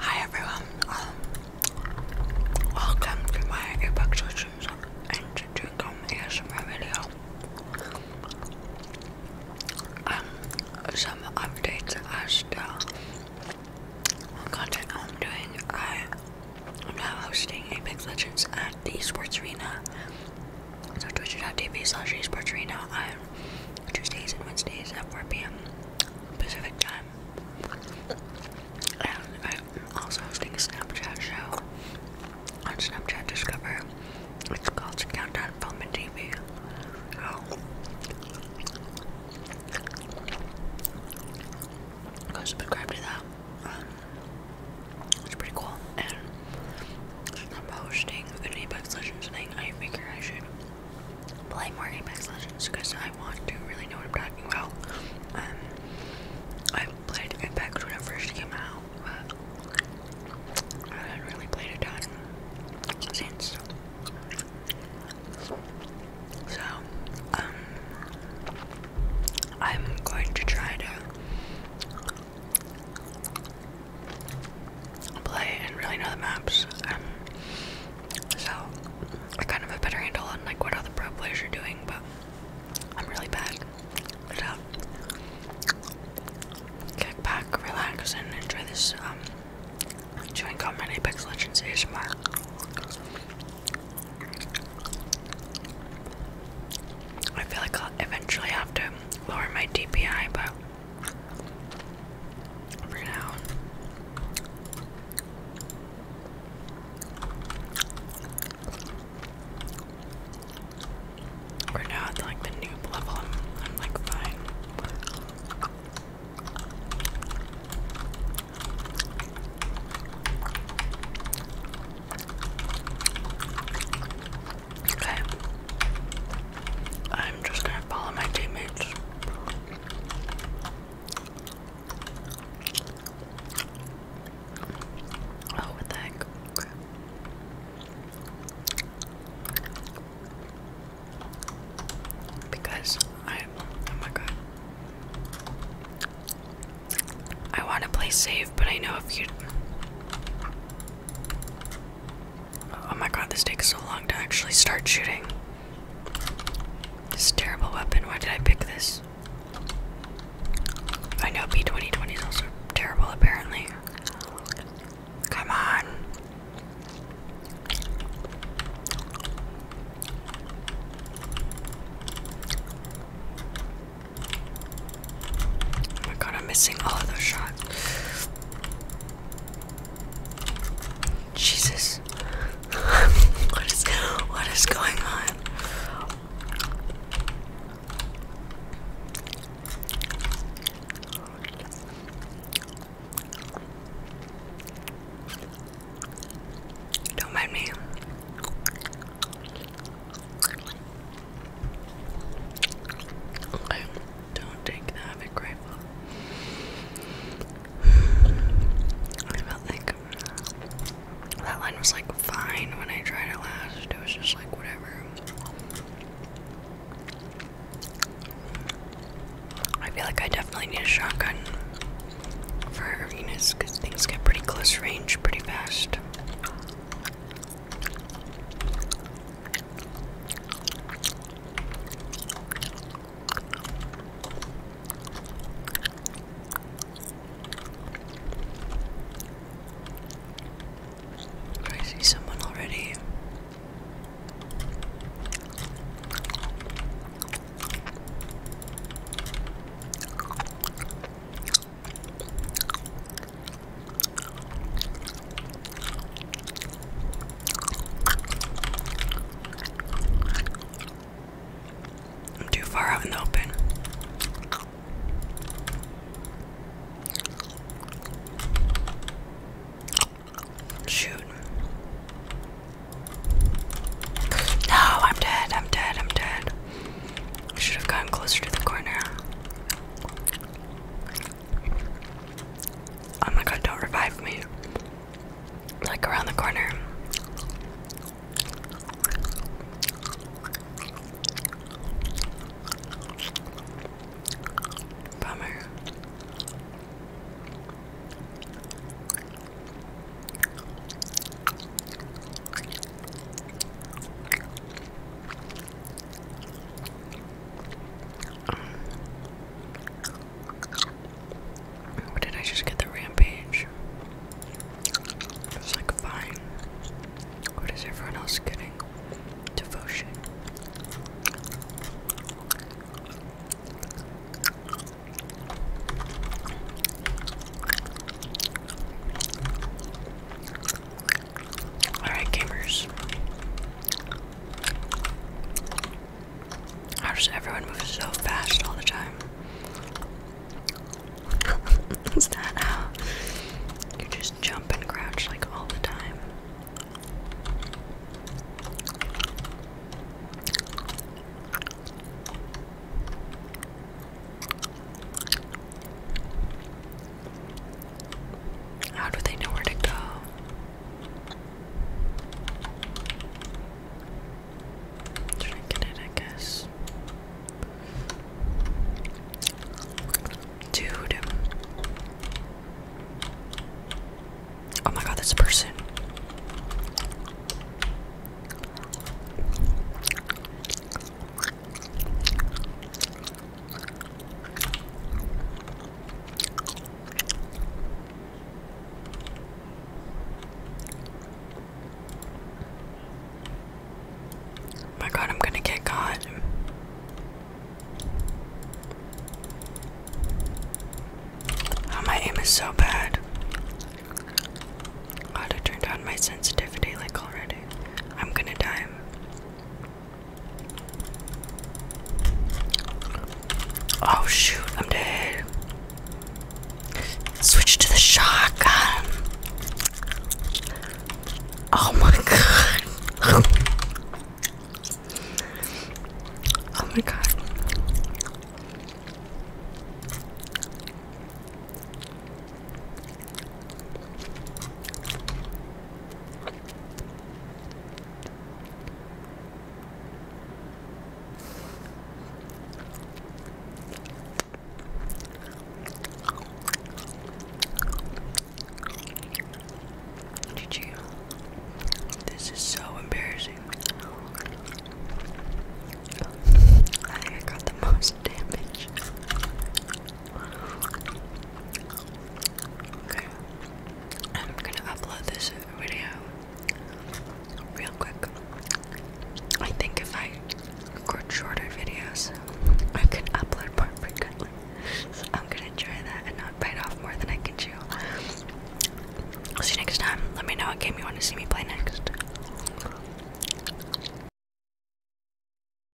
Hi everyone, um, welcome to my evacuations and to come ASMR video. Um, some updates are still. content I'm doing. I am now hosting Apex Legends at the Sports Arena. So twitch.tv slash esports arena Tuesdays and Wednesdays at 4 p.m. Pacific time. And I'm also hosting a Snapchat show on Snapchat Discover. It's called Countdown from the TV. Go subscribe to that. it's pretty cool. And I'm hosting an Apex Legends thing. I figure I should play more Apex Legends because I want to really know what I'm talking about. Um, I played Apex when it first came out, but I haven't really played a ton since. So, um, I'm going to try to play and really know the maps. Um, so I kind of have better handle on like what other pro players are doing, but I'm really bad. So um, kick back, relax, and enjoy this um chewing Apex Legends ASMR. I feel like I'll eventually have to lower my DPI, but for now. We're now like the noob level. I'm like fine. Okay. I'm just gonna follow my teammates. Oh, what the heck? Because I, oh my god. I want to play safe, but I know if you. Oh my god, this takes so long to actually start shooting. This terrible weapon, why did I pick this? I know B2020 is also terrible apparently. Come on. Oh my god, I'm missing all of those shots. Jesus. what is going on? Don't mind me. Okay, don't take the havoc I felt like uh, that line was like fine when I tried it last. It was just like whatever. I feel like I definitely need a shotgun for arenas because things get pretty close range pretty fast. I see someone already. I'm too far out in the open. Shoot. No, I'm dead, I'm dead, I'm dead. I should have gotten closer to the corner. Oh my god, don't revive me. Like around the corner. Bummer. What um, did I just get the rampage? It was like fine. What is everyone else getting? Devotion. Alright, gamers. How does everyone move so fast all the time? Is that you just jump and crouch like all the time? How do they know where to go? Should I get it, I guess? Dude. Oh my god, this person. Oh my god, I'm gonna get caught. Oh, my aim is so bad. I ought down my sensitivity like already. I'm gonna die. Oh shoot, I'm dead. Switch to the shotgun. Oh my god. oh my god. GG. This is so embarrassing. I think I got the most damage. Okay. I'm gonna upload this video real quick. I think if I record shorter videos, I can upload more frequently. So I'm gonna try that and not bite off more than I can chew. I'll see you next time. Let me know what game you want to see me play next.